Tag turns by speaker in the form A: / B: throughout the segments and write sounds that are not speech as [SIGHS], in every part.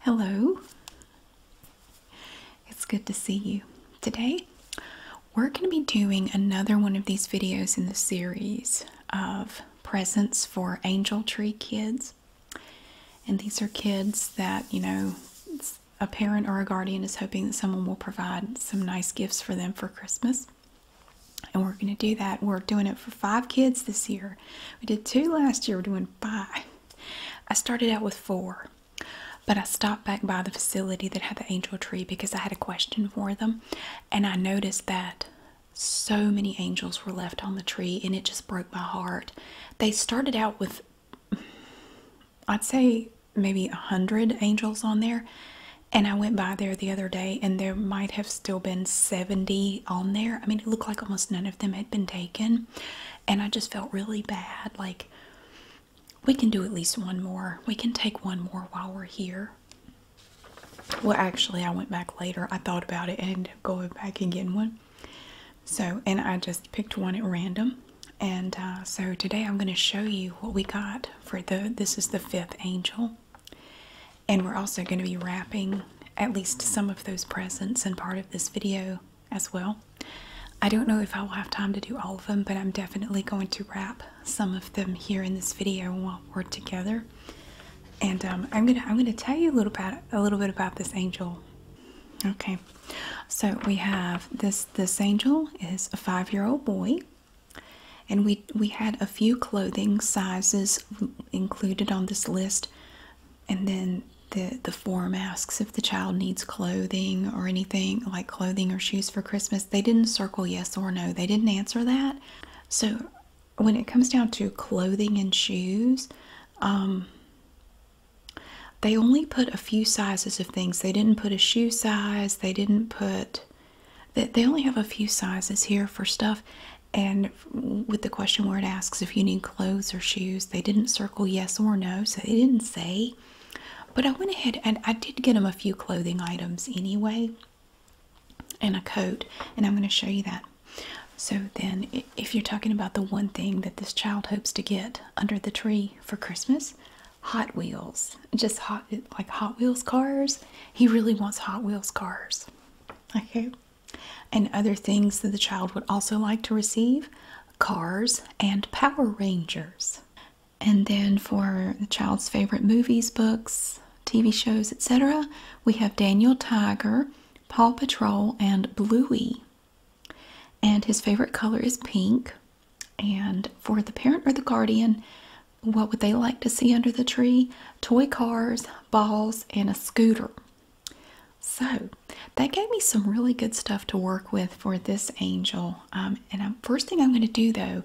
A: Hello. It's good to see you. Today, we're going to be doing another one of these videos in the series of presents for Angel Tree kids. And these are kids that, you know, a parent or a guardian is hoping that someone will provide some nice gifts for them for Christmas. And we're going to do that. We're doing it for five kids this year. We did two last year. We're doing and I started out with four, but I stopped back by the facility that had the angel tree because I had a question for them, and I noticed that so many angels were left on the tree, and it just broke my heart. They started out with, I'd say, maybe a hundred angels on there. And I went by there the other day, and there might have still been 70 on there. I mean, it looked like almost none of them had been taken. And I just felt really bad. Like, we can do at least one more. We can take one more while we're here. Well, actually, I went back later. I thought about it and ended up going back and getting one. So, and I just picked one at random. And uh, so today I'm going to show you what we got for the, this is the fifth angel. And we're also going to be wrapping at least some of those presents and part of this video as well. I don't know if I will have time to do all of them, but I'm definitely going to wrap some of them here in this video while we're together. And um, I'm gonna I'm gonna tell you a little about a little bit about this angel. Okay, so we have this this angel is a five year old boy, and we we had a few clothing sizes included on this list and then the the form asks if the child needs clothing or anything like clothing or shoes for Christmas. They didn't circle yes or no. They didn't answer that. So when it comes down to clothing and shoes, um, they only put a few sizes of things. They didn't put a shoe size. They didn't put. They, they only have a few sizes here for stuff, and with the question where it asks if you need clothes or shoes, they didn't circle yes or no, so they didn't say. But I went ahead and I did get them a few clothing items anyway, and a coat, and I'm going to show you that. So, then if you're talking about the one thing that this child hopes to get under the tree for Christmas, Hot Wheels, just hot like Hot Wheels cars, he really wants Hot Wheels cars. Okay. And other things that the child would also like to receive cars and Power Rangers. And then for the child's favorite movies, books, TV shows, etc., we have Daniel Tiger, Paw Patrol, and Bluey. And his favorite color is pink. And for the parent or the guardian, what would they like to see under the tree? Toy cars, balls, and a scooter. So that gave me some really good stuff to work with for this angel. Um, and I'm, first thing I'm going to do though,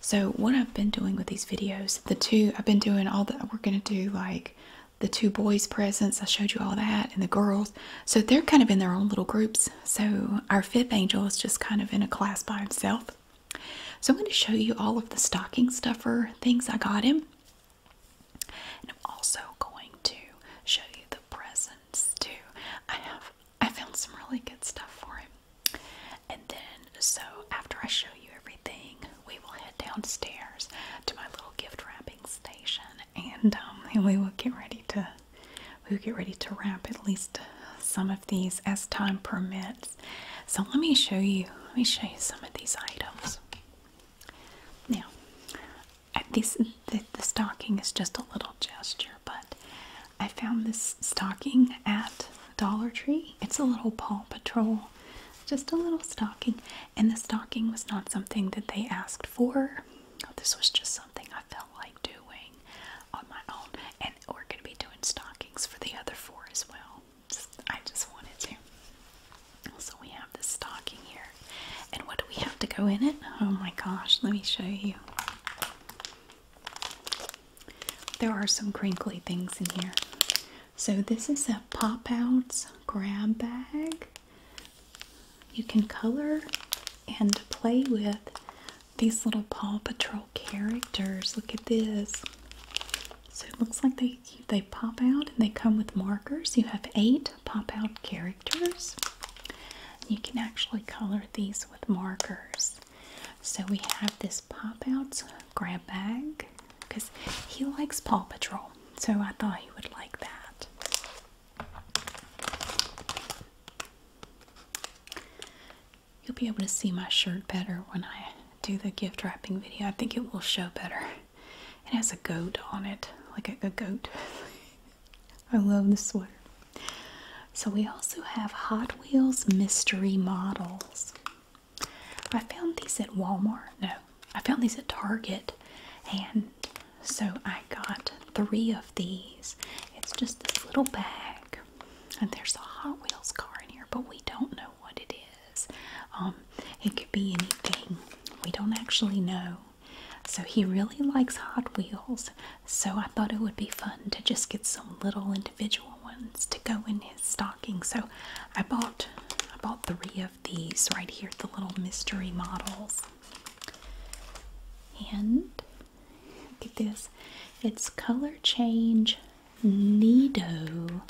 A: so what I've been doing with these videos, the two I've been doing all that we're going to do like the two boys' presents. I showed you all that, and the girls. So they're kind of in their own little groups. So our fifth angel is just kind of in a class by himself. So I'm going to show you all of the stocking stuffer things I got him. And I'm also going to show you the presents too. I have I found some really good stuff for him. And then so after I show you everything, we will head downstairs to my little gift wrapping station and um, and [LAUGHS] we will get ready to we will get ready to wrap at least some of these as time permits. So let me show you let me show you some of these items. Now, this the, the stocking is just a little gesture, but I found this stocking at Dollar Tree. It's a little Paw Patrol, just a little stocking, and the stocking was not something that they asked for. This was just something I felt like doing on my own, and we're going to be doing stockings for the other four as well. I just wanted to. So we have this stocking here. And what do we have to go in it? Oh my gosh, let me show you. There are some crinkly things in here. So this is a Pop Outs grab bag. You can color and play with these little Paw Patrol characters. Look at this. So it looks like they they pop out and they come with markers. You have eight pop out characters. You can actually color these with markers. So we have this pop out grab bag because he likes Paw Patrol. So I thought he would like that. You'll be able to see my shirt better when I do the gift wrapping video. I think it will show better. It has a goat on it, like a, goat. [LAUGHS] I love this one. So we also have Hot Wheels mystery models. I found these at Walmart. No, I found these at Target, and so I got three of these. It's just this little bag, and there's a Hot Wheels car in here, but we don't know what it is. Um, it could be anything. We don't actually know. So he really likes Hot Wheels. So I thought it would be fun to just get some little individual ones to go in his stocking. So I bought I bought three of these right here, the little mystery models. And look at this. It's color change Nido,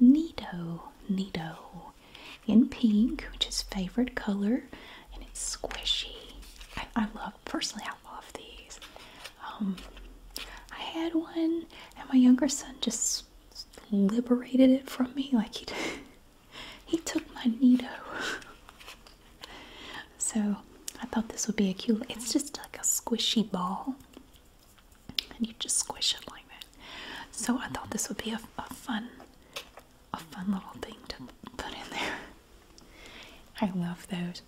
A: Nido, Nido in pink, which is favorite color, and it's squishy. I, love, personally, I love these. Um, I had one, and my younger son just liberated it from me. Like he, [LAUGHS] he took my Nido. [LAUGHS] so I thought this would be a cute. It's just like a squishy ball and you just squish it like that. So I thought this would be a, fun, a fun little thing to put in there. [LAUGHS] I love those.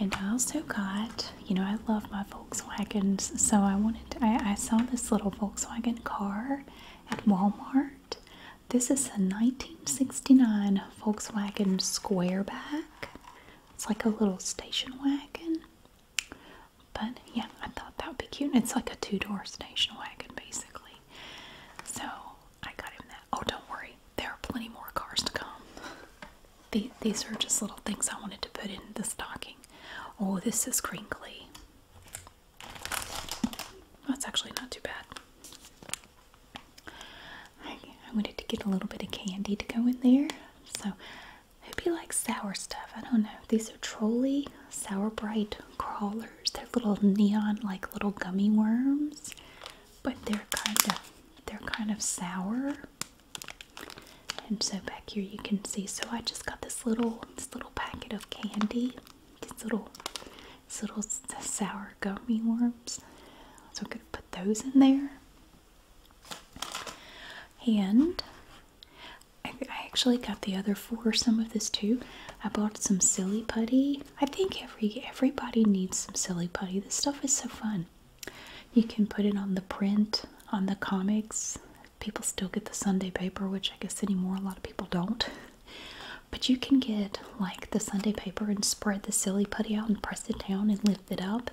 A: And I also got, you know, I love my Volkswagens, so I wanted I saw this little Volkswagen car at Walmart. This is a 1969 Volkswagen Squareback. It's like a little station wagon. But yeah, I thought that would be cute. it's like a two door station wagon, basically. So I got him that. Oh, don't worry, there are plenty more cars to come. [LAUGHS] these are just little things I wanted to put in the stocking. Oh, this is crinkly. That's actually not too bad. I wanted to get a little bit of candy to go in there. So Hope you like sour stuff. I don't know. These are trolley sour bright crawlers. They're little neon like little gummy worms, but they're kind of they're kind of sour. And so back here you can see. So I just got this little little packet of candy. These little these little sour gummy worms. So I'm gonna put those in there. And I, actually got the other four some of this too. I bought some silly putty. I think every everybody needs some silly putty. This stuff is so fun. You can put it on the print, on the comics. People still get the Sunday paper, which I guess anymore a lot of people don't. But you can get like the Sunday paper and spread the silly putty out and press it down and lift it up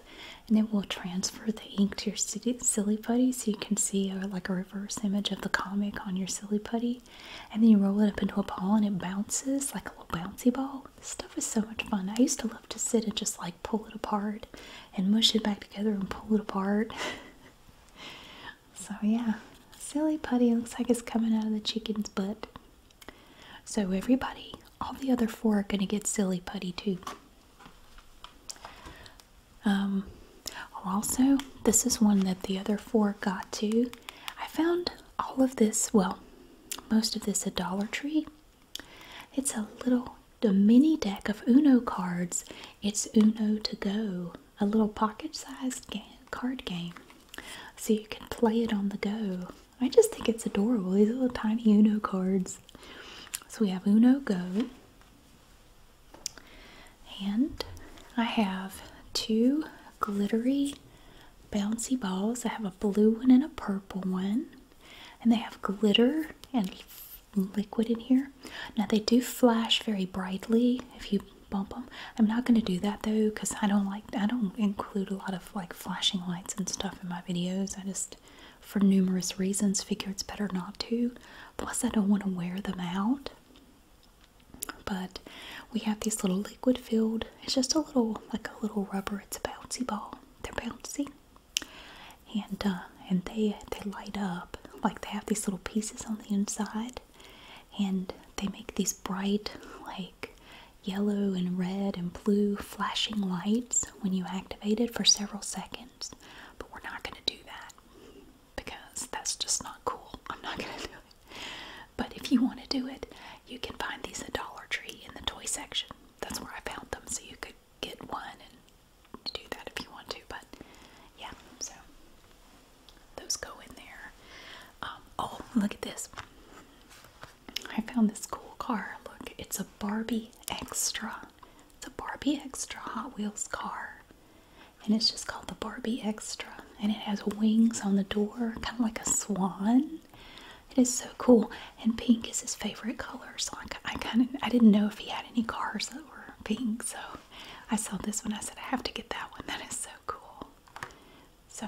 A: and it will transfer the ink to your silly putty so you can see uh, like a reverse image of the comic on your silly putty and then you roll it up into a ball and it bounces like a little bouncy ball this stuff is so much fun i used to love to sit and just like pull it apart and mush it back together and pull it apart [LAUGHS] so yeah silly putty looks like it's coming out of the chicken's butt so everybody all the other four are going to get silly putty too um, also, this is one that the other four got too. I found all of this, well, most of this at Dollar Tree. It's a little a mini deck of Uno cards. It's Uno to go, a little pocket-sized card game, so you can play it on the go. I just think it's adorable. These little tiny Uno cards. So we have Uno Go, and I have two glittery bouncy balls. I have a blue one and a purple one. And they have glitter and liquid in here. Now they do flash very brightly if you bump them. I'm not going to do that though because I don't like I don't include a lot of like flashing lights and stuff in my videos. I just for numerous reasons. Figure it's better not to. Plus, I don't want to wear them out. But we have these little liquid filled, it's just a little, like a little rubber, it's a bouncy ball. They're bouncy. And uh, and they they light up like they have these little pieces on the inside, and they make these bright like yellow and red and blue flashing lights when you activate it for several seconds but we're not going to do that because that's just not cool. [LAUGHS] I'm not going to do it. But if you want to do it, you can find these at Dollar Tree in the toy section. That's where I found them, so you could get one and do that if you want to. But yeah, so those go in there. Um, oh, look at this. I found this cool car. Look, it's a Barbie Extra. It's a Barbie Extra Hot Wheels car. And it's just called the Barbie Extra. And it has wings on the door, kind of like a swan. It is so cool. And pink is his favorite color. So I, kind of I didn't know if he had any cars that were pink. So I saw this one. I said, I have to get that one. [LAUGHS] That is so cool. So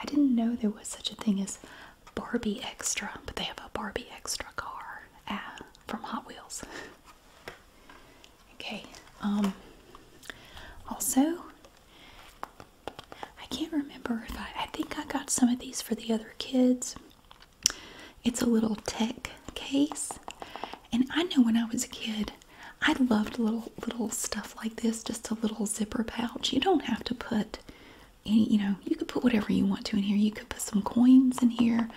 A: I didn't know there was such a thing as Barbie Extra, but they have a Barbie Extra car. Ah, from Hot Wheels. okay, um, also, I can't remember if I, I think I got some of these for the other kids. It's a little tech case, and I know when I was a kid, I loved little little stuff like this, just a little zipper pouch. You don't have to put you know, you could put whatever you want to in here. You could put some coins in here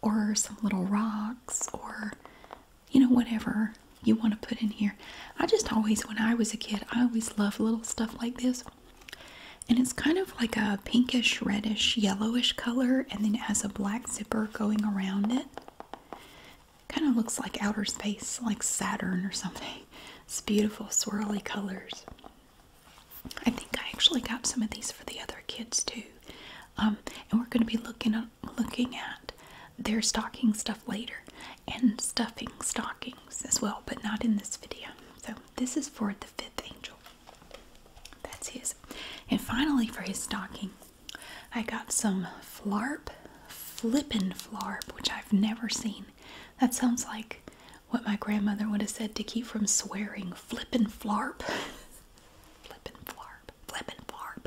A: or some little rocks or, you know, whatever you want to put in here. I just always, when I was a kid, I always loved little stuff like this. And it's kind of like a pinkish, reddish, yellowish color, and then it has a black zipper going around it. Kind of looks like outer space, like Saturn or something. [LAUGHS] It's beautiful, swirly colors. I think I actually got some of these for the other kids too. Um, and we're going to be looking at, looking at their stocking stuff later and stuffing stockings as well, but not in this video. So this is for the fifth angel. That's his. And finally for his stocking, I got some flarp, flippin' flarp, which I've never seen. That sounds like what my grandmother would have said to keep from swearing flippin' flarp. [LAUGHS] flippin' flarp. Flippin' flarp.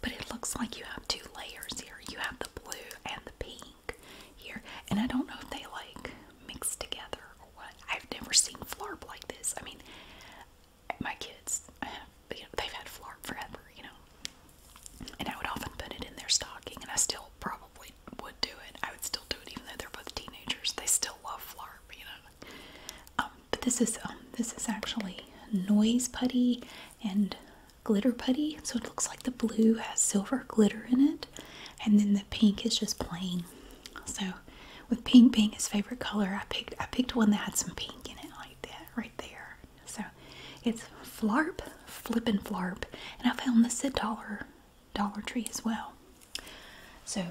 A: But it looks like you have two layers here. You have the blue and the pink here. And I don't know if they like mixed together I've never seen flarp like this. I mean, my kids, [SIGHS] they've had flarp forever, you know. And I would often put it in their stocking, and I still probably would do it. I would still do it even though they're both teenagers. They still love flarp, you know. Um, but this is um, this is actually noise putty and glitter putty. So it looks like the blue has silver glitter in it, and then the pink is just plain. So with pink being his favorite color, I picked I picked one that had some pink in it like that right there. So it's flarp, flippin' flarp, and I found this at Dollar Dollar Tree as well. So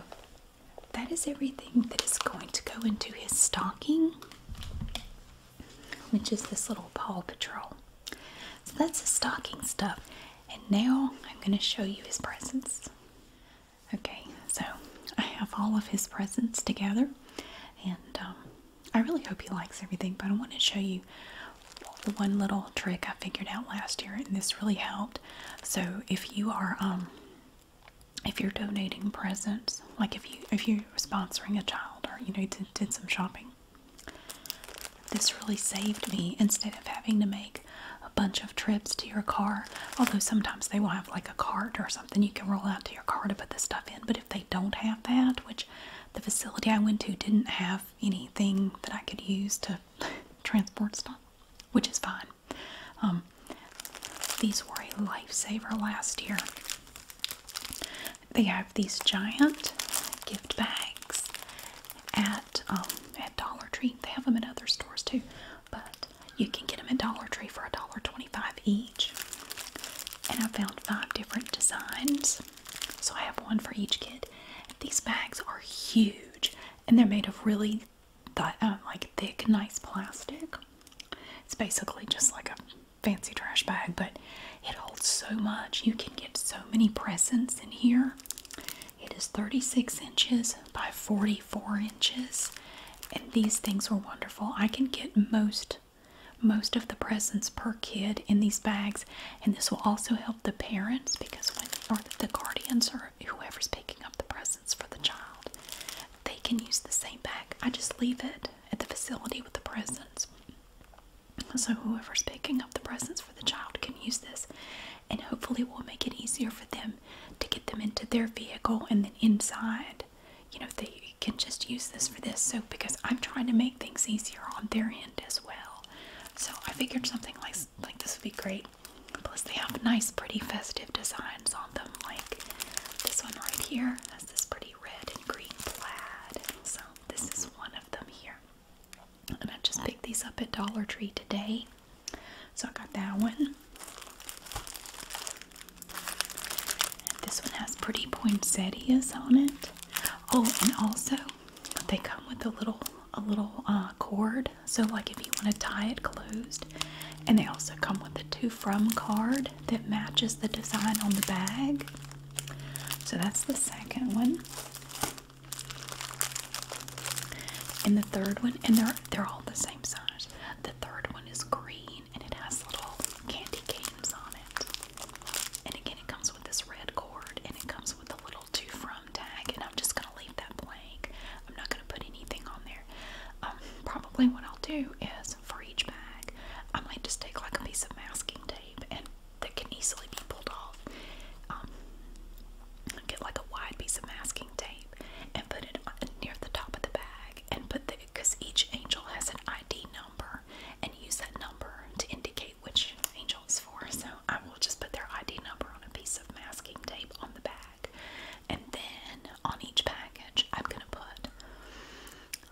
A: that is everything that is going to go into his stocking, which is this little Paw Patrol. So that's his stocking stuff. And now I'm going to show you his presents. Okay, so I have all of his presents together, and um, I really hope he likes everything, but I want to show you the one little trick I figured out last year, and this really helped. So if you are um, if you're donating presents, like if you if you're sponsoring a child or you know did some shopping, this really saved me instead of having to make a bunch of trips to your car. Although sometimes they will have like a cart or something you can roll out to your car to put the stuff in, but if they don't have that, which the facility I went to didn't have anything that I could use to [LAUGHS] transport stuff which is fine. Um, these were a lifesaver last year. They have these giant gift bags at um, at Dollar Tree. They have them at other stores too, but you can get them at Dollar Tree for a dollar twenty-five each. And I found five different designs, so I have one for each kid. These bags are huge and they're made of really um, like thick, nice plastic. It's basically just like a fancy trash bag, but it holds so much. You can get so many presents in here. It is 36 inches by 44 inches, and these things were wonderful. I can get most most of the presents per kid in these bags and this will also help the parents because when or the guardians are whoever's picking up the presents for the child, they can use the same bag. I just leave it at the facility with the presents. So whoever's picking up the presents for the child can use this, and hopefully will make it easier for them to get them into their vehicle and then inside. You know, they can just use this for this. So because I'm trying to make things easier on their end as well. So I figured something like like this would be great. Plus, they have nice, pretty festive designs on them. Like this one right here has this pretty red and green plaid. So, this is one of them here. And I just picked these up at Dollar Tree today. So, I got that one. this one has pretty poinsettias on it. Oh, and also they come with a little a little uh, cord so, like if you want to tie it closed, and they also come with a 2 from card that matches the design on the bag. So, that's the second one. And the third one, and they're they're all the same size. The third one is green and it has little candy canes on it. And again, it comes with this red cord and it comes with a little to from tag and I'm just going to leave that blank. I'm not going to put anything on there. Um, probably what I'll do is for each bag, I might just take like a piece of masking tape and that can easily be pulled off. Um, get like a wide piece of masking tape and put it on, near the top of the bag and put the because each angel has an ID number and use that number to indicate which angel is for. So I will just put their ID number on a piece of masking tape on the back. And then on each package, I'm going to put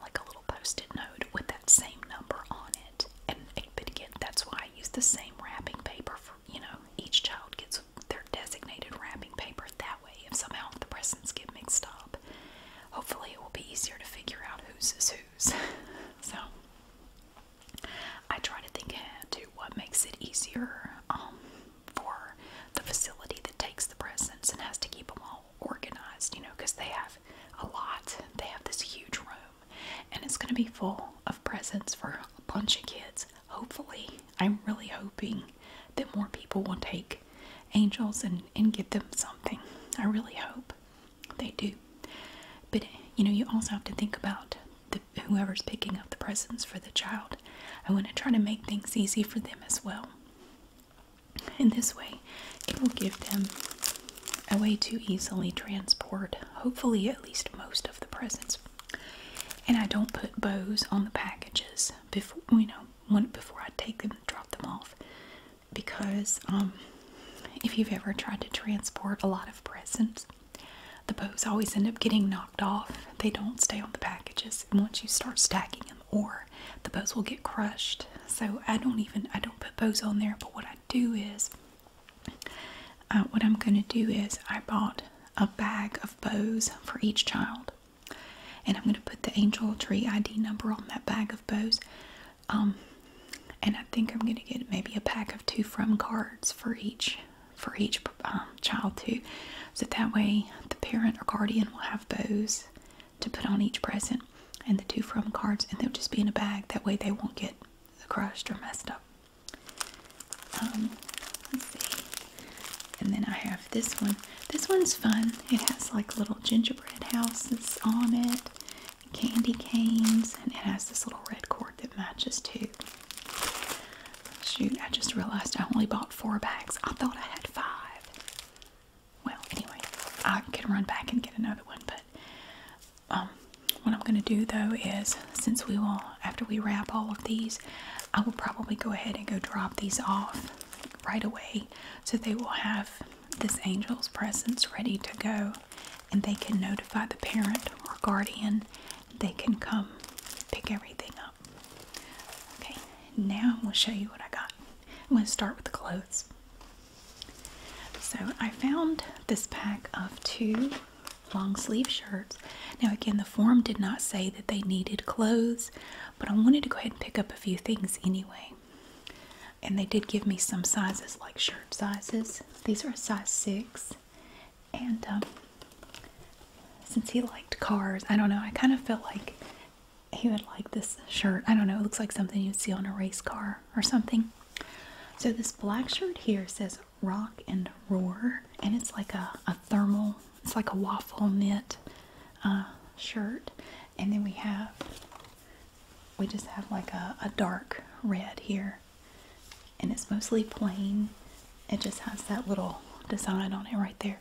A: like a little post it note with that same number on it. And again, that's why I use the same wrapping paper for, you know, each child gets their designated wrapping paper that way. If somehow the presents get mixed up, hopefully it will be easier to figure out whose is whose. [LAUGHS] so, I try to think ahead what makes it easier um, for the facility that takes the presents and has to keep them all organized, you know, because they have a lot. They have this huge room, and it's going to be full of presents for a bunch of kids. Hopefully, I'm really hoping that more people will take angels and, and give them something. I really hope they do. But, you know, you also have to think about whoever's picking up the presents for the child. I want to try to make things easy for them as well. In this way, it will give them a way to easily transport, hopefully, at least most of the presents. And I don't put bows on the packages before you know when, before I take them drop them off, because um, if you've ever tried to transport a lot of presents, the bows always end up getting knocked off. They don't stay on the packages. And once you start stacking them or the bows will get crushed. So I don't even I don't put bows on there, but what I do is uh, what I'm going to do is I bought a bag of bows for each child. And I'm going to put the angel tree ID number on that bag of bows. Um, and I think I'm going to get maybe a pack of two from cards for each for each um, child too. So that way the parent or guardian will have bows to put on each present and the two from cards and they'll just be in a bag. That way they won't get crushed or messed up. Um, let's see. And then I have this one. This one's fun. It has like little gingerbread houses on it, candy canes, and it has this little red cord that matches too. Shoot, I just realized I only bought four bags. I thought I had five. Well, anyway, I can run back and get another one, but um, what I'm going to do though is since we will, after we wrap all of these, I will probably go ahead and go drop these off right away so they will have this angel's presence ready to go and they can notify the parent or guardian they can come pick everything up. Okay, now gonna show you what I got. I'm going to start with the clothes. So I found this pack of two long sleeve shirts. Now again, the form did not say that they needed clothes, but I wanted to go ahead and pick up a few things anyway. And they did give me some sizes like shirt sizes. These are a size 6 and um, since he liked cars, I don't know, I kind of felt like he would like this shirt. I don't know, it looks like something you'd see on a race car or something. So this black shirt here says Rock and Roar, and it's like a, a thermal, it's like a waffle knit uh, shirt. And then we have, we just have like a dark red here and it's mostly plain. It just has that little design on it right there.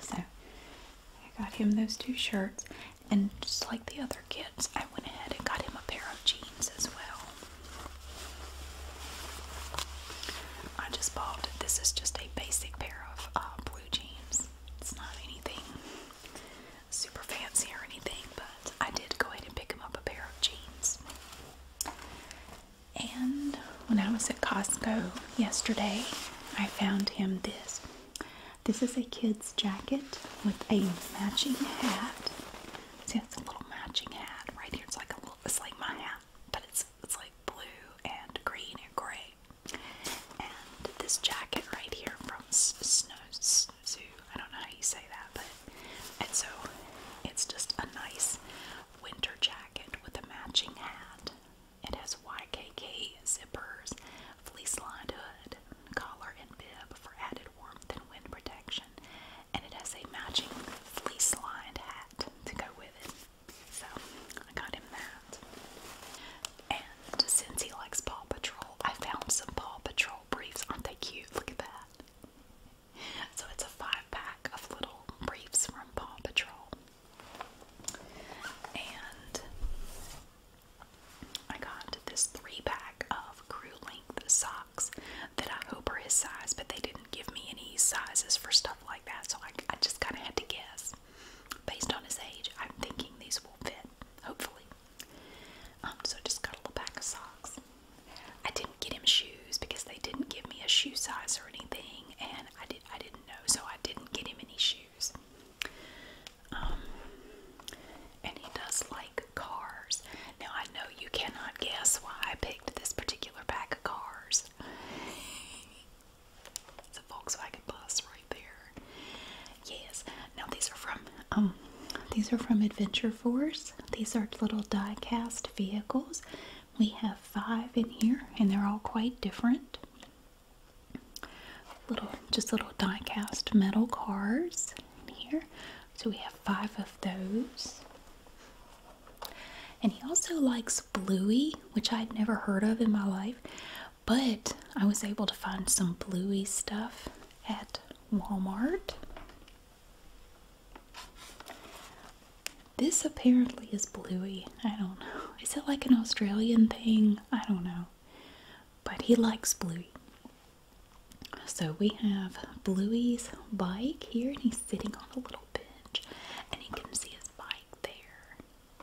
A: So I got him those two shirts, and just like the other kids, I went ahead and got him a pair of jeans as well. I just bought this is just a basic pair of uh, blue jeans. It's not anything super fancy or anything, but I did go ahead and pick him up a pair of jeans. And when I was at Costco yesterday, I found him this. This is a kid's jacket with a matching hat. See, it's a little matching hat right here. It's like a little, it's like my hat, but it's it's like blue and green and gray. And this jacket right here from Snow zoo. I don't know how you say that, but and so it's just a nice winter jacket with a matching hat. It has YKK zippers, fleece-lined hood, collar, and bib for added warmth and wind protection. And it has a matching fleece-lined hat to go with it. So I got him that. And since he likes Paw Patrol, I found some Paw Patrol briefs. Aren't they cute? Look at that. So it's a five pack of little briefs from Paw Patrol. And I got this three pack of crew length socks that I hope are his size, but they didn't give me any sizes for stuff like that, so I, just kind of had to guess. Based on his age, I'm thinking these will fit, hopefully. Um, so I just got a little pack of socks. I didn't get him shoes because they didn't give me a shoe size or anything, and I did I didn't know, so I didn't get him any shoes. Um, and he does like cars. Now I know you cannot guess why I picked this particular pack of cars. [LAUGHS] it's a Volkswagen bus right there. Yes. Now these are from um these are from Adventure Force. These are little die cast vehicles. We have five in here, and they're all quite different. Little, just little die cast metal cars in here. So we have five of those. And he also likes Bluey, which I'd never heard of in my life, but I was able to find some Bluey stuff at Walmart. This apparently is bluey. I don't know. Is it like an Australian thing? I don't know. But he likes bluey. So we have Bluey's bike here, and he's sitting on a little bench, and he can see his bike there,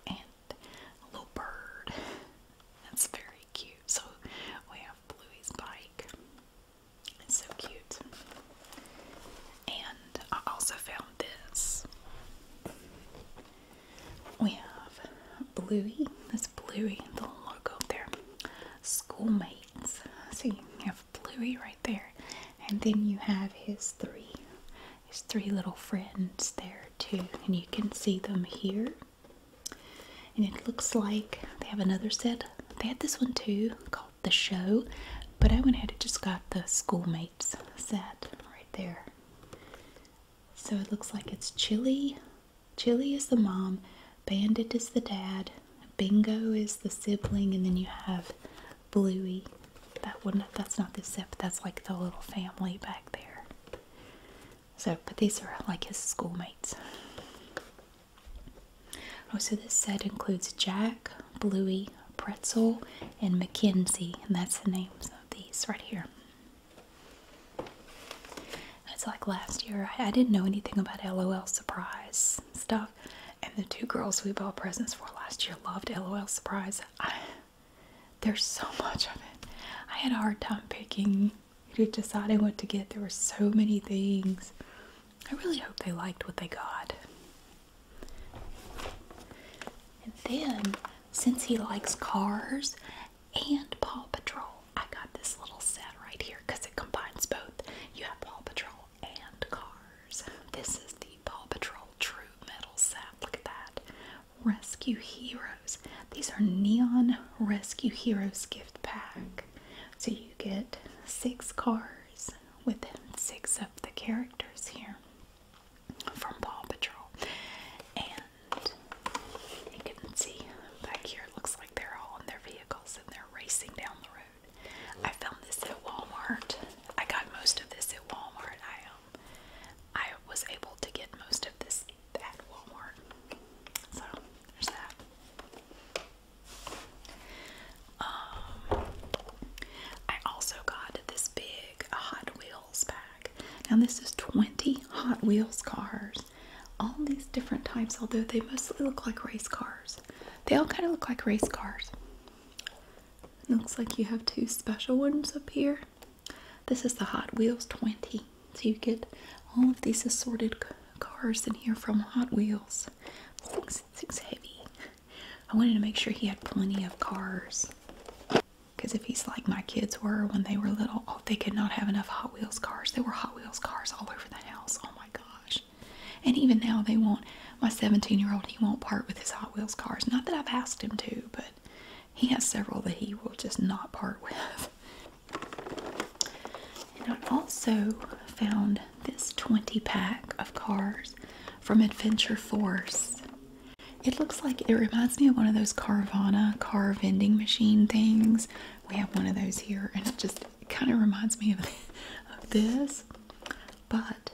A: and a little bird. That's very cute. So we have Bluey's bike. It's so cute. And I also found this. We have Bluey. That's Bluey, the logo there. Schoolmates. So you have Bluey right there. And then you have his three his three little friends there too. And you can see them here and it looks like they have another set. They had this one too called The Show, but I went ahead and just got the Schoolmates set right there. So it looks like it's Chili. Chili is the mom, Bandit is the dad, Bingo is the sibling, and then you have Bluey. That one, that's not this set, that's like the little family back there. So, but these are like his schoolmates so this set includes Jack, Bluey, Pretzel, and Mackenzie, and that's the names of these right here. It's like last year, I, didn't know anything about LOL Surprise stuff, and the two girls we bought presents for last year loved LOL Surprise. there's so much of it. I had a hard time picking you decided what to get. There were so many things. I really hope they liked what they got. And then, since he likes cars and Paw Patrol, I got this little set right here because it combines both. You have Paw Patrol and cars. This is the Paw Patrol True Metal set. Look at that. Rescue Heroes. These are Neon Rescue Heroes gift pack. So you you get six cars with six of the characters here from Paw Patrol. And you can see back here, it looks like they're all in their vehicles and they're racing down the road. I found this at Walmart. I got most of this at Walmart. I um, I was able to get most of this at Walmart. So there's that. Um, I also got this big Hot Wheels bag. Now this is 20 Hot Wheels cars. All these different types, although they mostly look like race cars. They all kind of look like race cars. Looks like you have two special ones up here. This is the Hot Wheels 20. So you get all of these assorted cars in here from Hot Wheels. Things, things heavy. I wanted to make sure he had plenty of cars. Because if he's like my kids were when they were little, oh, they could not have enough Hot Wheels cars. There were Hot Wheels cars all over the house. Oh my gosh. And even now, they won't. My 17 year old, he won't part with his Hot Wheels cars. Not that I've asked him to, but he has several that he will just not part with. [LAUGHS] And I also found this 20 pack of cars from Adventure Force. It looks like it reminds me of one of those Carvana car vending machine things. We have one of those here, and it just kind of reminds me of, [LAUGHS] of this. But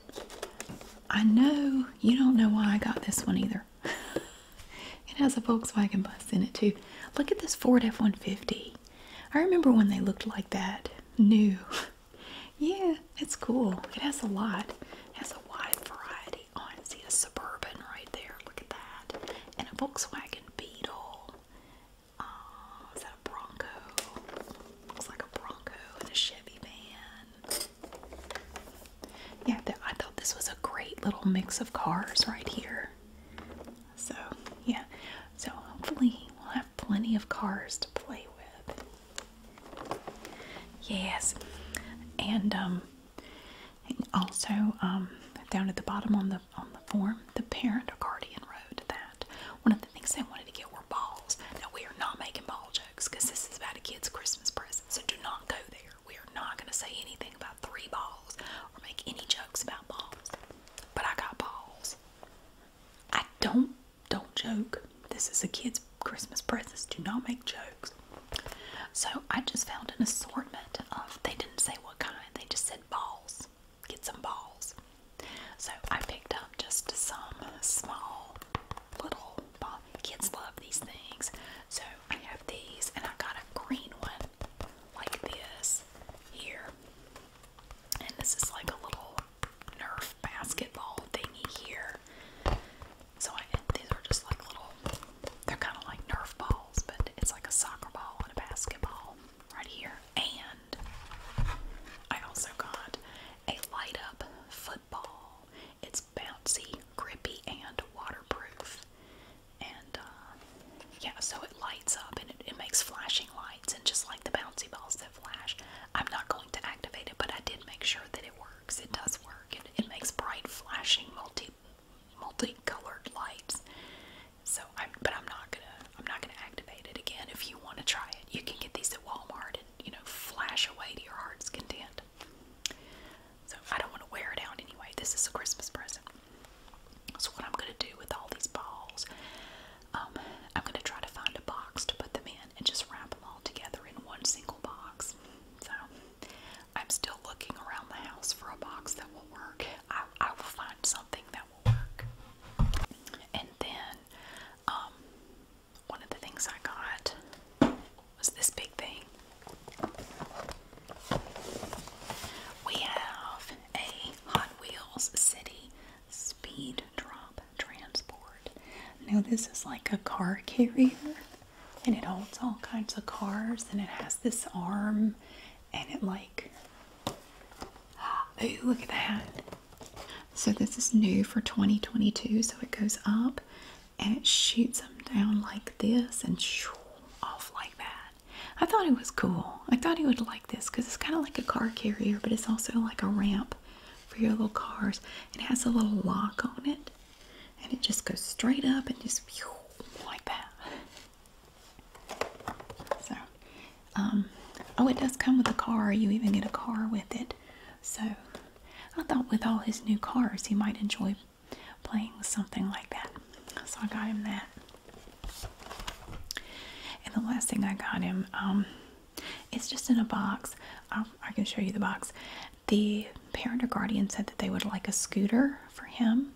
A: I know you don't know why I got this one either. [LAUGHS] it has a Volkswagen bus in it too. Look at this Ford F 150. I remember when they looked like that. New. [LAUGHS] yeah, it's cool. It has a lot. It has a wide variety. I see a Suburban right there. Look at that. And a Volkswagen Beetle. is that a Bronco? Looks like a Bronco and a Chevy van. Yeah, I thought this was a great little mix of cars right here. So, yeah. So, hopefully, we'll have plenty of cars to play with. Yes. And, um, also, um, down at the bottom on the on the form, the parent or guardian wrote that one of the things they wanted to get were balls. Now we are not making ball jokes because this is about a kid's Christmas present, so do not go there. We are not going to say anything about three balls or make any jokes about balls. But I got balls. I don't don't joke. This is a kid's Christmas presents. Do not make jokes. So I just found an assortment of they didn't say what kind, they just said balls. Get some balls. So I picked up just some small little balls. Kids love these things. So I have these and I got a green one like this here. And this is like a little Nerf basketball thingy here. So I, these are just like little, they're kind of like Nerf balls, but it's like a soccer ball and a basketball right here. And I also got a light up football. It's bouncy, grippy, and waterproof. And uh, yeah, so it lights up and it, makes flashing lights, and just like the bouncy balls that flash. I'm not going to activate it, but I did make sure that it works. It does work. It, makes bright, flashing, multi, multi-colored lights. So, I'm, but I'm not gonna, I'm not gonna activate it again. If you want to try it, you can get these at Walmart and you know flash away to your heart's content. So I don't want to wear it out anyway. This is a Christmas present. So what I'm gonna do with all these balls, um, I'm gonna try to find a box to put them in and just wrap them all together in one single box. So I'm still looking around the house for a box that will work. I, will find something that will work. And then um, one of the things I got was this big thing. We have a Hot Wheels City Speed Drop Transport. Now, this is like a car carrier and it holds all kinds of cars and it has this arm and it like oh look at that so this is new for 2022 so it goes up and it shoots them down like this and off like that I thought it was cool. I thought he would like this because it's kind of like a car carrier, but it's also like a ramp for your little cars. It has a little lock on it, and it just goes straight up and just like that. So, um, oh, it does come with a car. You even get a car with it. So, I thought with all his new cars, he might enjoy playing with something like that. So I got him that. And the last thing I got him, um, it's just in a box. Um, i can show you the box. The parent or guardian said that they would like a scooter for him.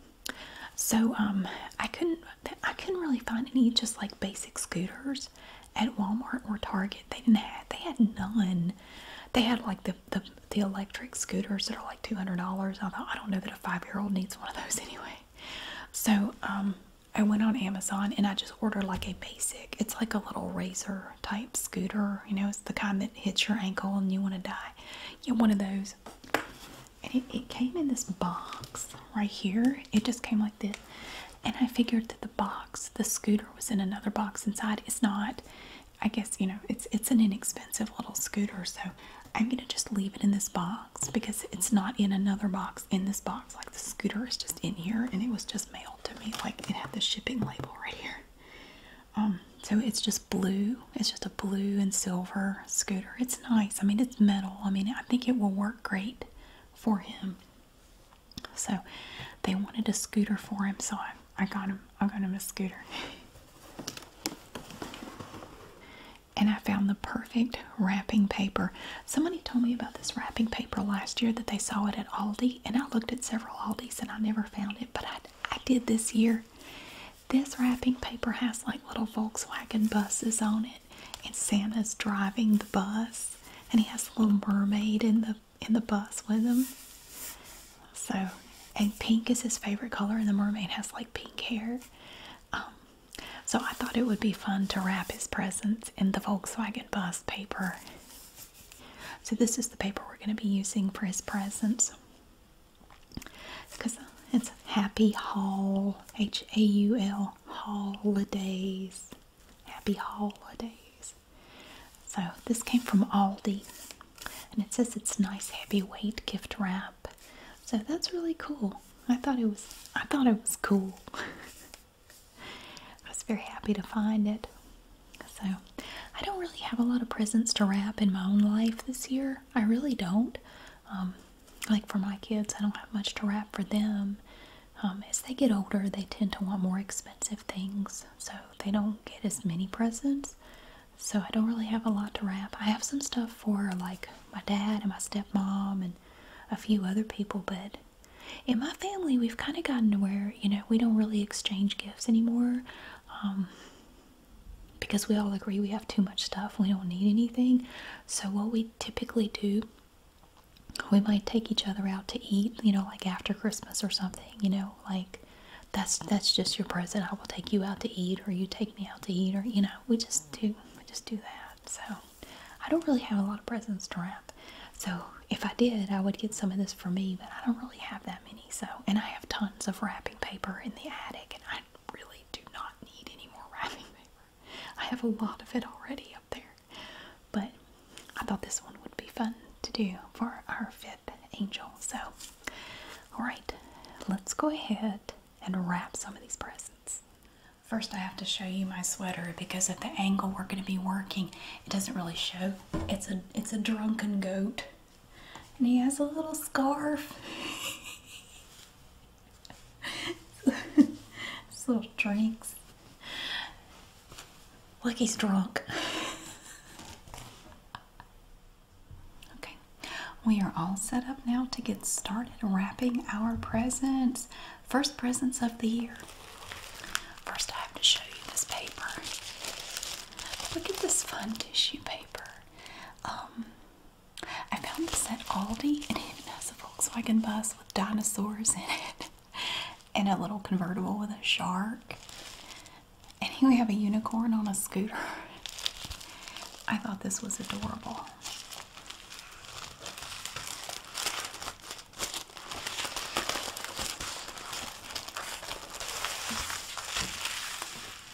A: So um, I couldn't, I couldn't really find any just like basic scooters at Walmart or Target. They didn't have, they had none. They had like the the, the electric scooters that are like two hundred dollars. I thought I don't know that a five year old needs one of those [LAUGHS] anyway. So um, I went on Amazon and I just ordered like a basic. It's like a little razor type scooter. You know, it's the kind that hits your ankle and you want to die. Yeah, one of those. And it came in this box right here. It just came like this. And I figured that the box, the scooter was in another box inside. It's not. I guess, you know, it's it's an inexpensive little scooter. So I'm gonna just leave it in this box because it's not in another box in this box. Like the scooter is just in here and it was just mailed to me. Like it had the shipping label right here. Um, so it's just blue. It's just a blue and silver scooter. It's nice. I mean, it's metal. I mean, I think it will work great for him. So they wanted a scooter for him, so I, I got him. I got him a scooter and I found the perfect wrapping paper. Somebody told me about this wrapping paper last year that they saw it at Aldi, and I looked at several Aldis and I never found it, but I, I did this year. This wrapping paper has like little Volkswagen buses on it, and Santa's driving the bus, and he has a little mermaid in the in the bus with him. So, and pink is his favorite color, and the mermaid has like pink hair. Um, so I thought it would be fun to wrap his presents in the Volkswagen bus paper. So this is the paper we're going to be using for his presents. Because it's Happy Haul H A U L, holidays. Happy holidays. So this came from Aldi and it says it's nice heavyweight gift wrap. So that's really cool. I thought it was I thought it was cool. [LAUGHS] I was very happy to find it. So I don't really have a lot of presents to wrap in my own life this year. I really don't. Um, like for my kids, I don't have much to wrap for them. Um, as they get older, they tend to want more expensive things, so they don't get as many presents. So I don't really have a lot to wrap. I have some stuff for like my dad and my stepmom and a few other people, but in my family, we've kind of gotten to where, you know, we don't really exchange gifts anymore um, because we all agree we have too much stuff. We don't need anything. So, what we typically do, we might take each other out to eat, you know, like after Christmas or something, you know, like that's that's just your present. I will take you out to eat, or you take me out to eat, or you know, we just do we just do that. So I don't really have a lot of presents to wrap. So if I did, I would get some of this for me, but I don't really have that many. So and I have tons of wrapping paper in the attic, and I really do not need any more [LAUGHS] wrapping paper. I have a lot of it already up there, but I thought this one would be fun to do for our fifth angel. So all right, let's go ahead and wrap some of these presents. First I have to show you my sweater because at the angle we're going to be working it doesn't really show. It's a it's a drunken goat and he has a little scarf. [LAUGHS] little drinks. Look he's drunk. [LAUGHS] okay we are all set up now to get started wrapping our presents. First presents of the year. First, I have to show you this paper. Look at this fun tissue paper. Um, I found this at Aldi and it has a Volkswagen bus with dinosaurs in it [LAUGHS] and a little convertible with a shark. And here we have a unicorn on a scooter. I thought this was adorable.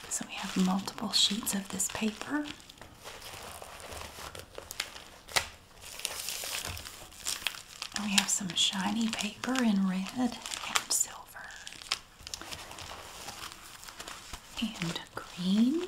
A: So we have multiple sheets of this paper. And we have some shiny paper in red and silver and green.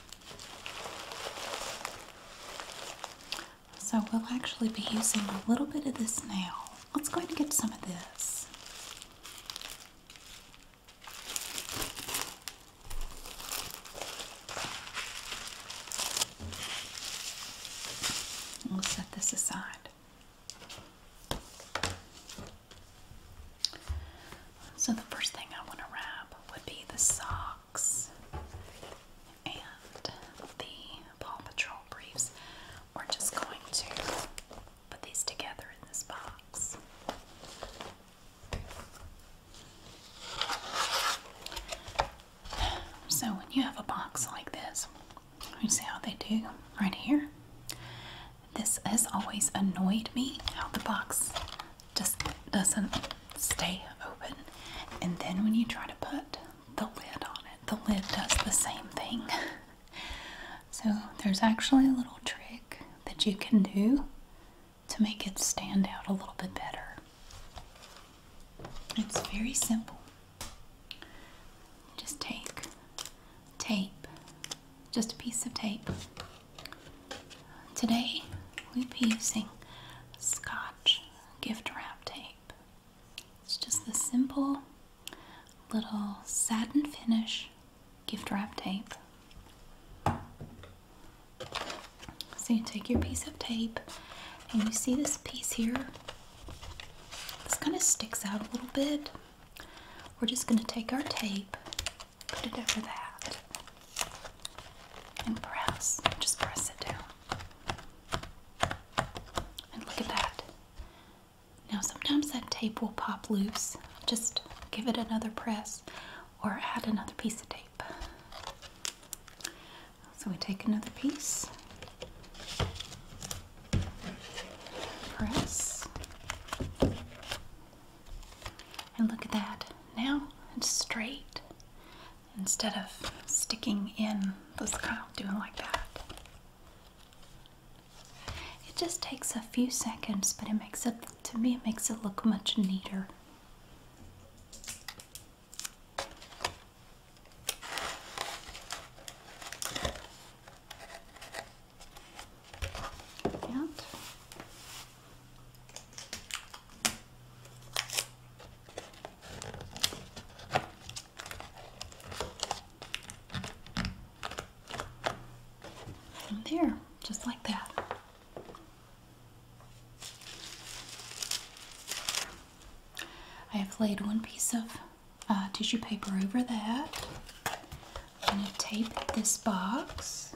A: So we'll actually be using a little bit of this now. Let's go ahead and get some of this. We'll set this aside. So the first thing I want to wrap would be the socks and the Paw Patrol briefs. We're just going to put these together in this box. So when you have a box like this, you see how they do right here? This has always annoyed me how the box just doesn't stay open. And then when you try to put the lid on it, the lid does the same thing. [LAUGHS] So there's actually a little trick that you can do to make it stand out a little bit better. It's very simple. Just take tape just a piece of tape. Today we'll be using Scotch gift wrap tape. It's just the simple little satin finish gift wrap tape. So you take your piece of tape and you see this piece here. This kind of sticks out a little bit. We're just going to take our tape Put it over that. And press. Just press it down. And look at that. Now, sometimes that tape will pop loose. Just give it another press or add another piece of tape. So we take another piece, press, and look at that. Now it's straight instead of sticking in. Let's kind of do it like that. It just takes a few seconds, but it makes it, to me, it makes it look much neater. And there, just like that. I have laid one piece of uh, tissue paper over that. I'm going to tape this box.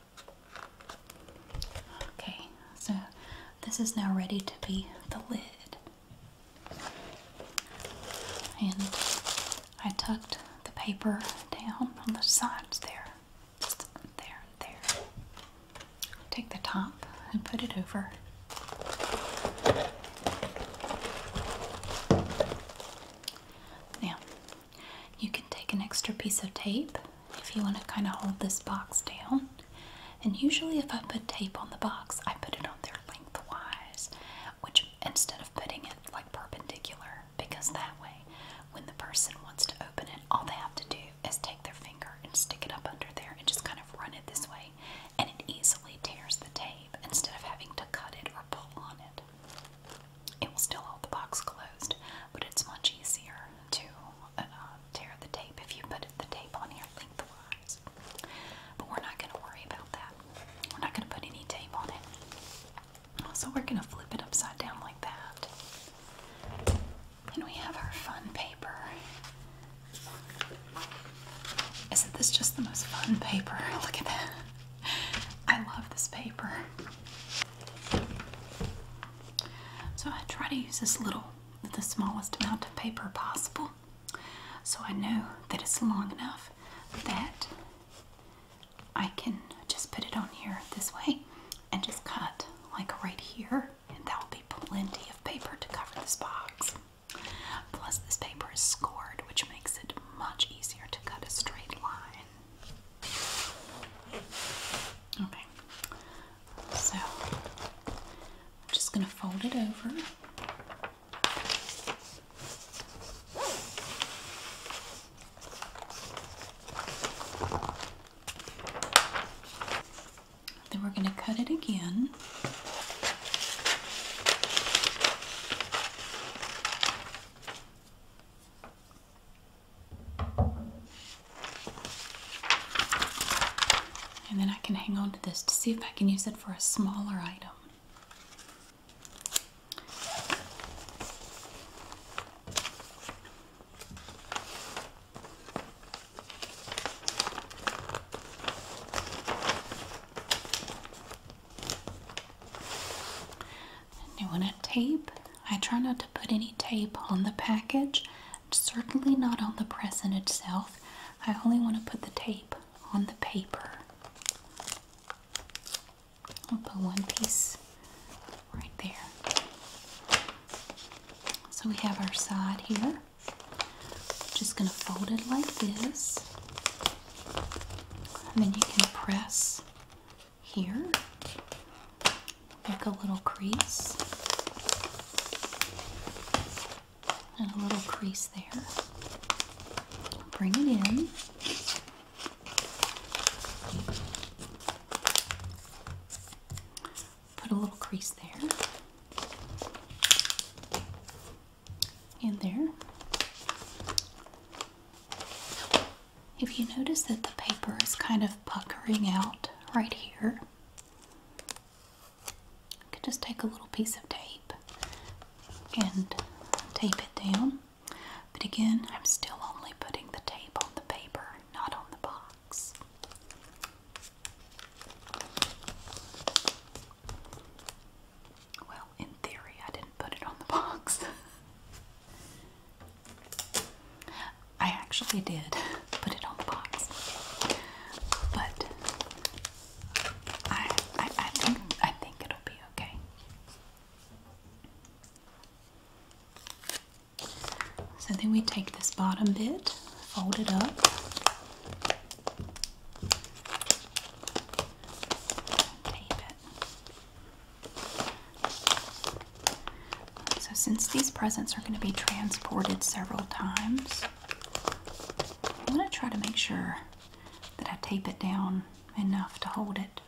A: Okay, so this is now ready to be the lid. And I tucked the paper down on the sides there. there there. Take the top and put it over. Now, you can take an extra piece of tape if you want to kind of hold this box down. And usually, if I put tape on the box, I put it on there lengthwise, which instead of putting it like perpendicular, because that way, when the person wants to open it, all they have to do is take their finger and stick it up under there and just kind of run it this way, and it easily tears the tape instead of having to cut it or pull on it. It will still hold the box closed, but it's much easier to uh, tear the tape if you put the tape on here lengthwise. But we're not going to worry about that. We're not going to put any tape on it. So we're going to flip it upside down like that. And we have our fun paper. Isn't this just the most fun paper? [LAUGHS] Look at that. I love this paper. So I try to use this little, the smallest amount of paper possible. So I know that it's long enough that I can just put it on here this way and just cut like right here and that will be plenty of paper to cover this box. Plus this paper is scored which makes it much easier to cut a straight line. Okay, so I'm just going to fold it over. Then we're going to cut it again. And then I can hang on to this to see if I can use it for a smaller item. And you want to tape. I try not to put any tape on the package, certainly not on the present itself. I only want to put the tape on the paper. I'll put one piece right there. So we have our side here. Just going to fold it like this. And then you can press here, make a little crease and a little crease there. Bring it in. Put a little crease there. in there. If you notice that the paper is kind of puckering out right here, you could just take a little piece of tape and tape it down. But again, I'm still only putting the tape on the paper, not on the box. Well, in theory, I didn't put it on the box. [LAUGHS] I actually did [LAUGHS] put it on the box, but I, I, think I think it'll be okay. So then we take this bottom bit, fold it up. Tape so, since these presents are going to be transported several times, I'm going to try to make sure that I tape it down enough to hold it.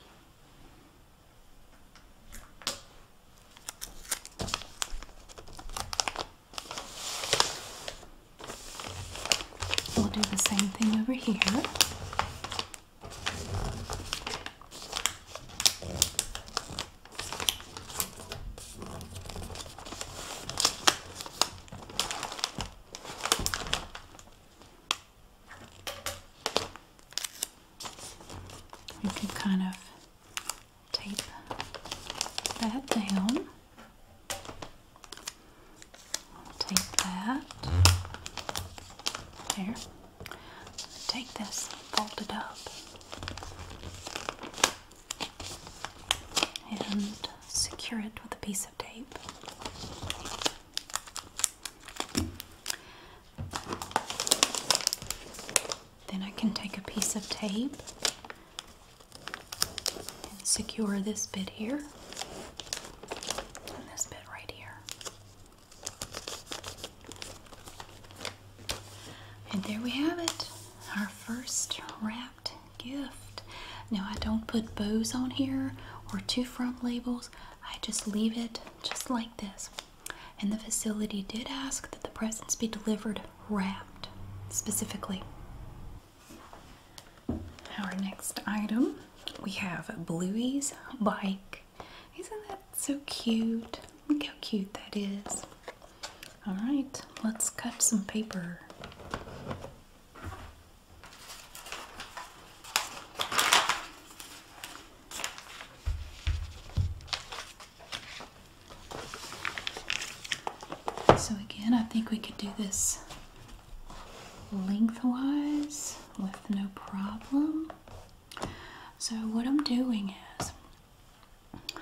A: We'll do the same thing over here. You can kind of tape that down. tape that there take this fold it up and secure it with a piece of tape. Then I can take a piece of tape and secure this bit here and this bit right here. And there we have it, our first wrapped gift. Now, I don't put bows on here or two front labels, I just leave it just like this. And the facility did ask that the presents be delivered wrapped specifically. Our next item we have Bluey's Bike isn't that so cute? Look how cute that is. Alright, let's cut some paper. So, again, I think we could do this lengthwise with no problem. So, what I'm doing is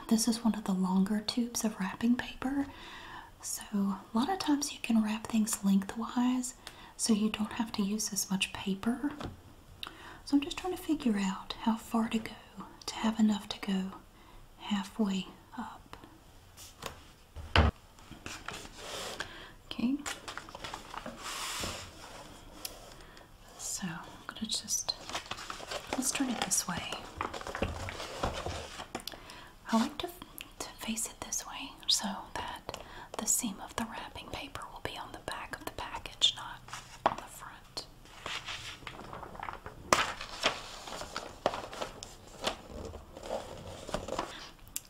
A: this is one of the longer tubes of wrapping paper. So, a lot of times you can wrap things lengthwise so you don't have to use as much paper. So, I'm just trying to figure out how far to go to have enough to go halfway up. Okay. So I'm gonna just let's turn it this way. I like to, to face it this way so that the seam of the wrapping paper will be on the back of the package, not on the front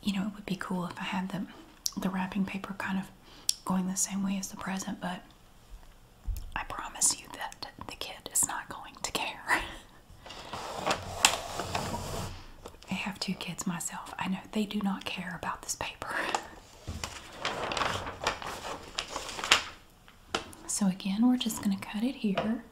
A: you know, it would be cool if I had the, the wrapping paper kind of going the same way as the present, but I promise you that the kid is not going to care. [LAUGHS] I have two kids myself. I know they do not care about this paper. [LAUGHS] So, again, we're just going to cut it here.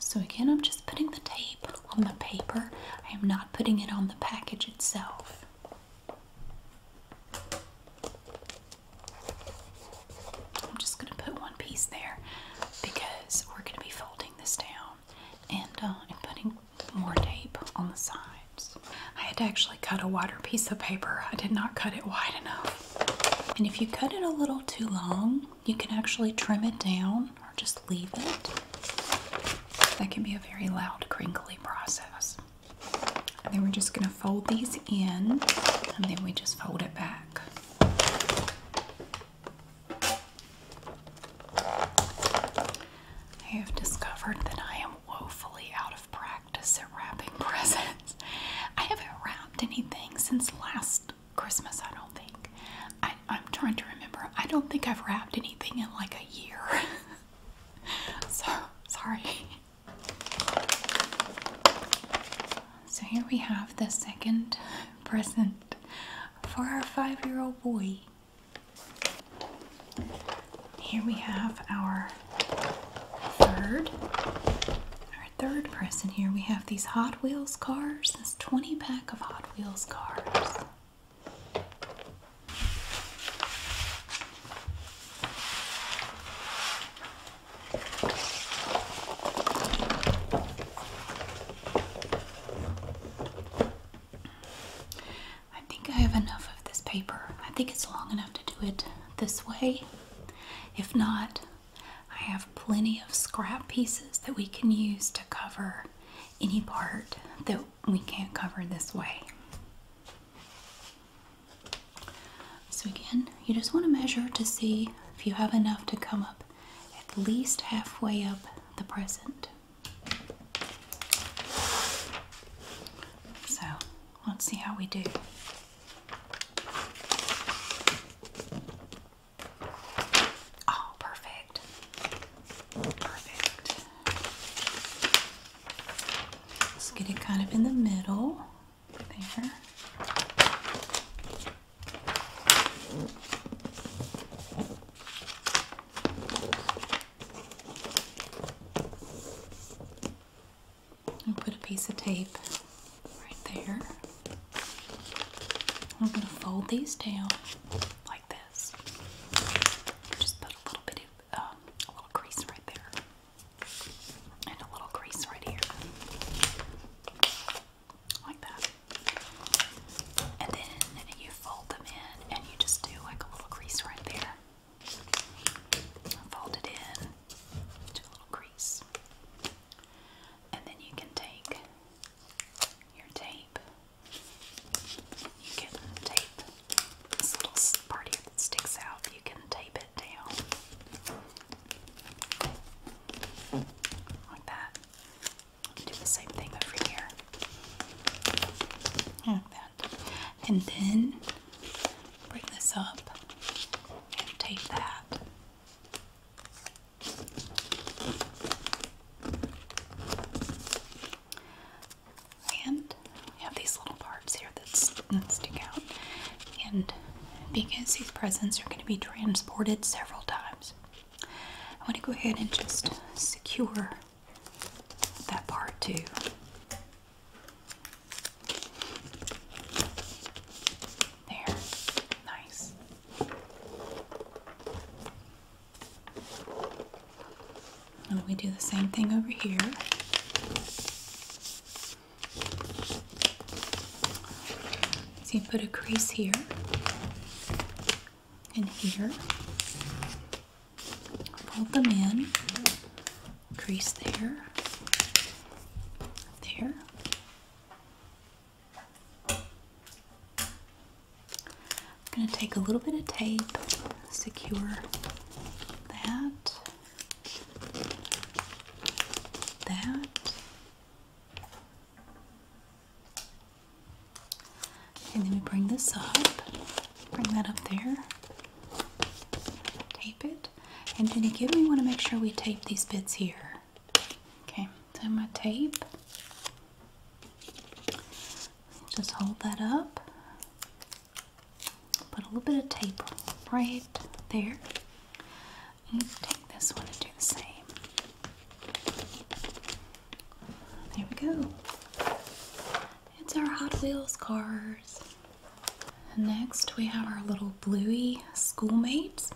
A: So, again, I'm just putting the tape on the paper, I am not putting it on the package itself. I'm just going to put one piece there because we're going to be folding this down uh, and, putting more tape on the sides. I had to actually cut a wider piece of paper. I did not cut it wide enough. And if you cut it a little too long, you can actually trim it down or just leave it. That can be a very loud crinkly process then we're just going to fold these in and then we just fold it back. I have discovered that I am woefully out of practice at wrapping [LAUGHS] presents. I haven't wrapped anything since last Christmas, I don't think. I'm trying to remember. I don't think I've wrapped anything in like a year. [LAUGHS] [LAUGHS] so sorry. So here we have the second [LAUGHS] present for our five year old boy. Here we have our third. Our third present here. We have these Hot Wheels cars, this 20 pack of Hot Wheels cars. I think I have enough of this paper. I think it's long enough to do it this way. If not, I have plenty of scrap pieces that we can use to cover any part that we can't cover this way. So again, you just want to measure to see if you have enough to come up at least halfway up the present. So let's see how we do. Oh, perfect. Perfect. Let's get it kind of in the middle. There. And put a piece of tape right there. I'm going to fold these down like this. Just put a little bit in um, a little crease right there and a little crease right here like that and then you fold them in and you just do like a little crease right there fold it in do a little crease and then you can take your tape you can tape this little part here that sticks out, you can tape it down like that. Do the same thing over here, like that, and then bring this up and that and we have these little parts here that stick out. And because these presents are going to be transported several times, I want to go ahead and just secure that part too. There. Nice. And we do the same thing over here. So you put a crease here and here. Fold them in. Crease there. There. I'm going to take a little bit of tape, secure that, that, and then we bring this up, bring that up there, tape it, and then again we want to make sure we tape these bits here. Okay, so my tape. Just hold that up. Put a little bit of tape right there. And take this one and do the same. There we go. It's our Hot Wheels cars. Next, we have our little bluey schoolmates.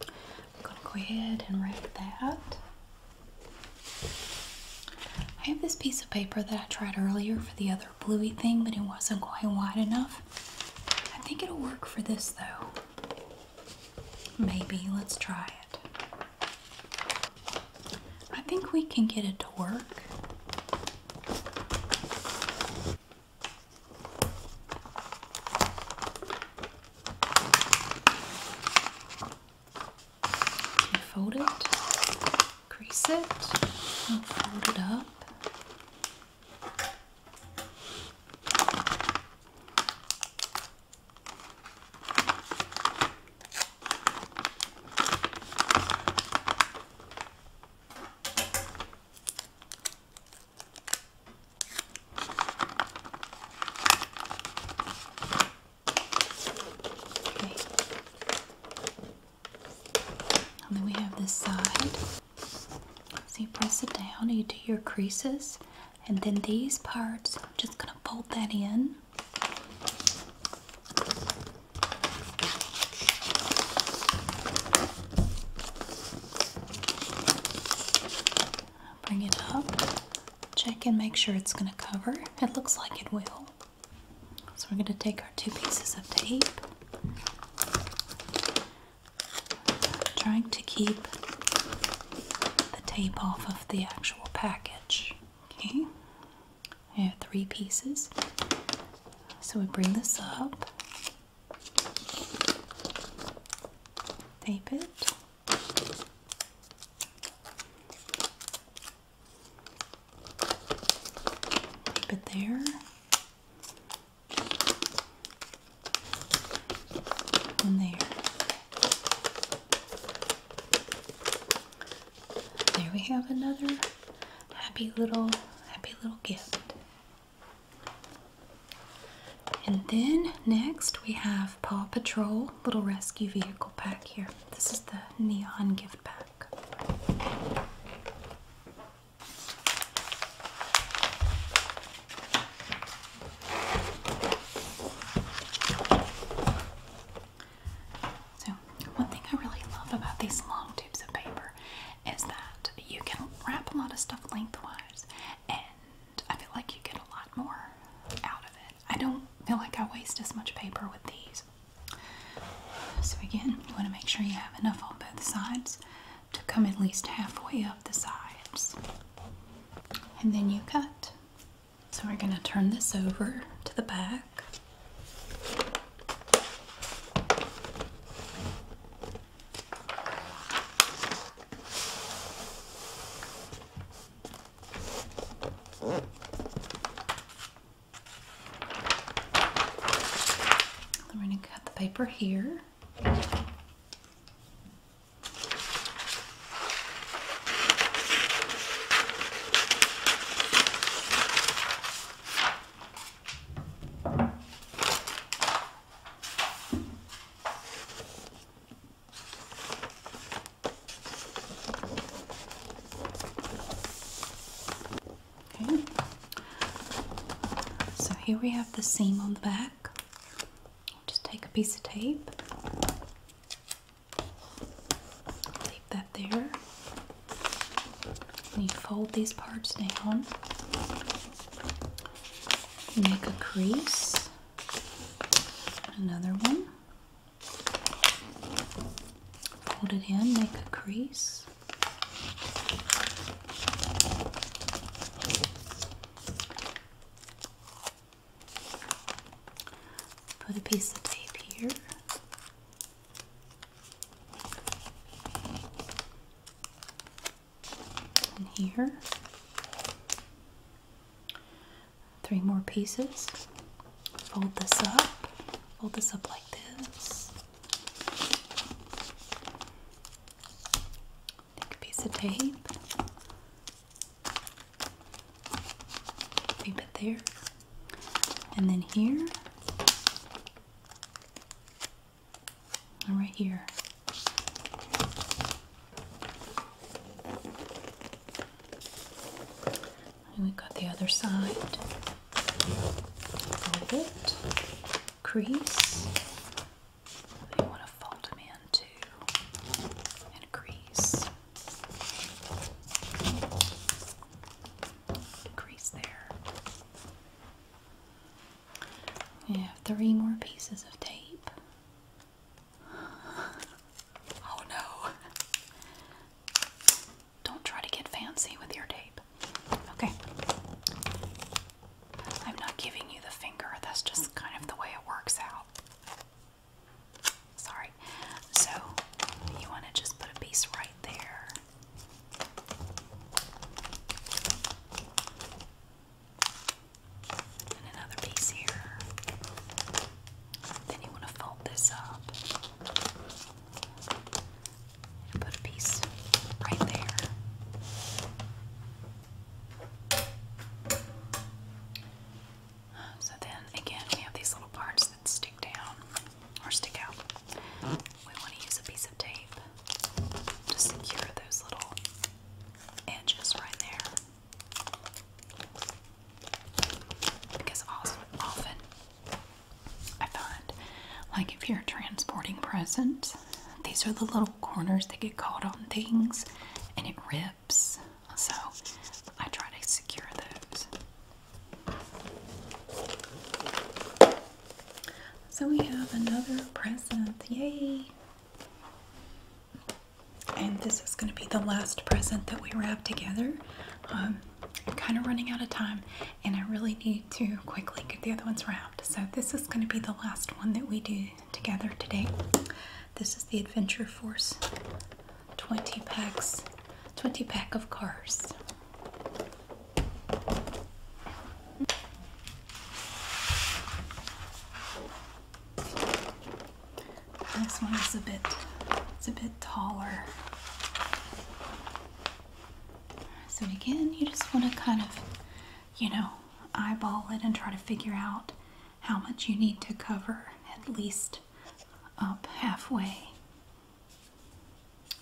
A: I'm gonna go ahead and wrap that. I have this piece of paper that I tried earlier for the other bluey thing, but it wasn't quite wide enough. I think it'll work for this though. Maybe. Let's try it. I think we can get it to work fold it, crease it, and fold it up then we have this side. So you press it down and you do your creases. And then these parts, I'm just going to fold that in. Bring it up. Check and make sure it's going to cover. It looks like it will. So we're going to take our two pieces of tape. Trying to keep the tape off of the actual package. Okay, I have three pieces. So we bring this up, tape it, Keep it there. And there. There we have another happy little, happy little gift. And then next we have Paw Patrol Little Rescue Vehicle Pack here. This is the neon gift pack. So, one thing I really love about these long tubes of paper is that you can wrap a lot of stuff lengthwise, and I feel like you get a lot more out of it. I don't feel like I waste as much paper with these. So again, you want to make sure you have enough on both sides to come at least halfway up the sides. And then you cut. So we're going to turn this over to the back. I'm going to cut the paper here. So here we have the seam on the back. Just take a piece of tape. Leave that there. And fold these parts down. Make a crease. Another one. Fold it in, make a crease. Put a piece of tape here. And here three more pieces. Fold this up, fold this up like this. Take a piece of tape, tape it there, and then here, and right here and we've got the other side fold it crease you want to fold them in too and crease there you have three more pieces of tape [LAUGHS] oh no don't try to get fancy with your tape. Okay. I'm not giving you the finger, that's just kind of the way it works out. Sorry. So, you want to just put a piece right there. And another piece here. Then you want to fold this up and put a piece right there. So then again, we have these little parts that stick down or stick out. We want to use a piece of tape to secure those little edges right there. Because also, often I find, like if you're transporting presents, these are the little corners that get caught on things and it rips. So I try to secure those. So we have another present. Yay! And this is going to be the last present that we wrap together. Um, I'm kind of running out of time and I really need to quickly get the other ones wrapped. So this is going to be the last one that we do together today. This is the Adventure Force 20 packs, 20 pack of cars. This one is a bit it's a bit taller. So again, you just want to kind of, you know, eyeball it and try to figure out how much you need to cover at least up halfway.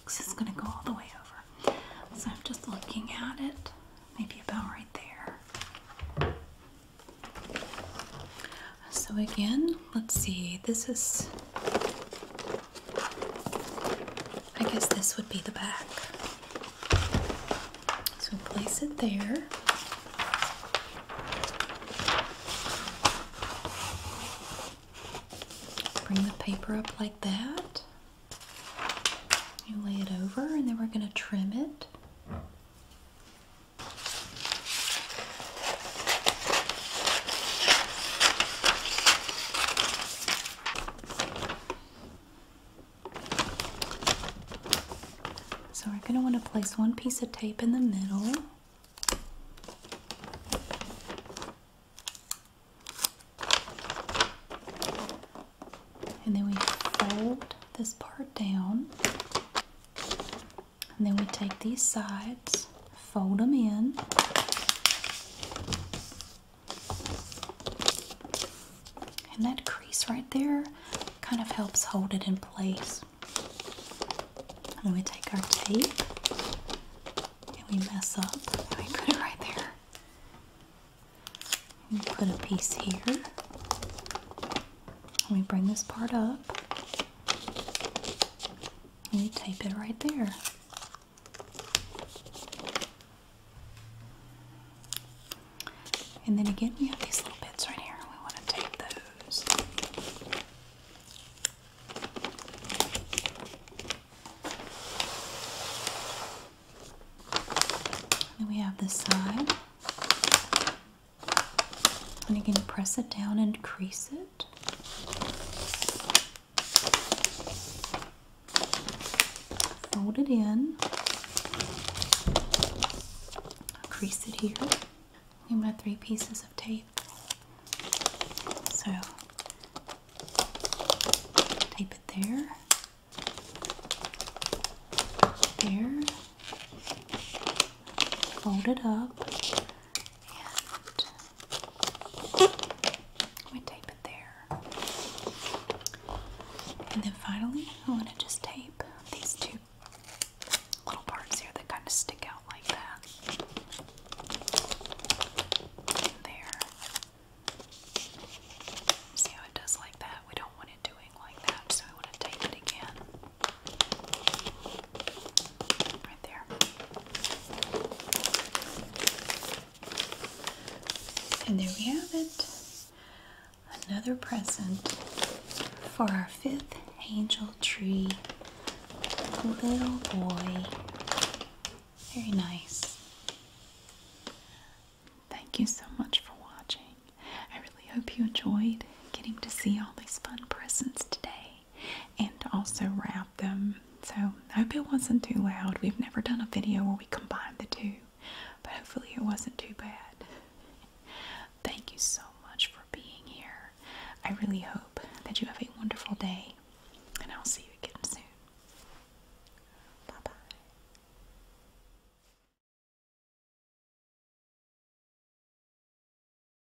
A: Because it's going to go all the way over. So I'm just looking at it, maybe about right there. So again, let's see. This is I guess this would be the back. So place it there. Bring the paper up like that. You lay it over and then we're going to trim it. So we're going to want to place one piece of tape in the middle. And then we fold this part down. And then we take these sides, fold them in. And that crease right there kind of helps hold it in place. And we take our tape and we mess up and we put it right there. We put a piece here. And we bring this part up and you tape it right there. And then again, we have these little bits right here. We want to tape those. And then we have this side. And again, press it down and crease it. Fold it in. crease it here. Need my three pieces of tape. So tape it there. There. Fold it up and we tape it there. And then finally, I want to just tape these two little parts here that kind of stick out like that. there. See how it does like that? We don't want it doing like that, so we want to tape it again. Right there. And there we have it. Another present for our fifth angel tree little boy. Very nice. Thank you so much for watching. I really hope you enjoyed getting to see all these fun presents today and also wrap them. So I hope it wasn't too loud. We've never done a video where we combine the two, but hopefully it wasn't too bad. Thank you so much for being here. I really hope that you have a wonderful day, and I'll see you again soon. Bye bye.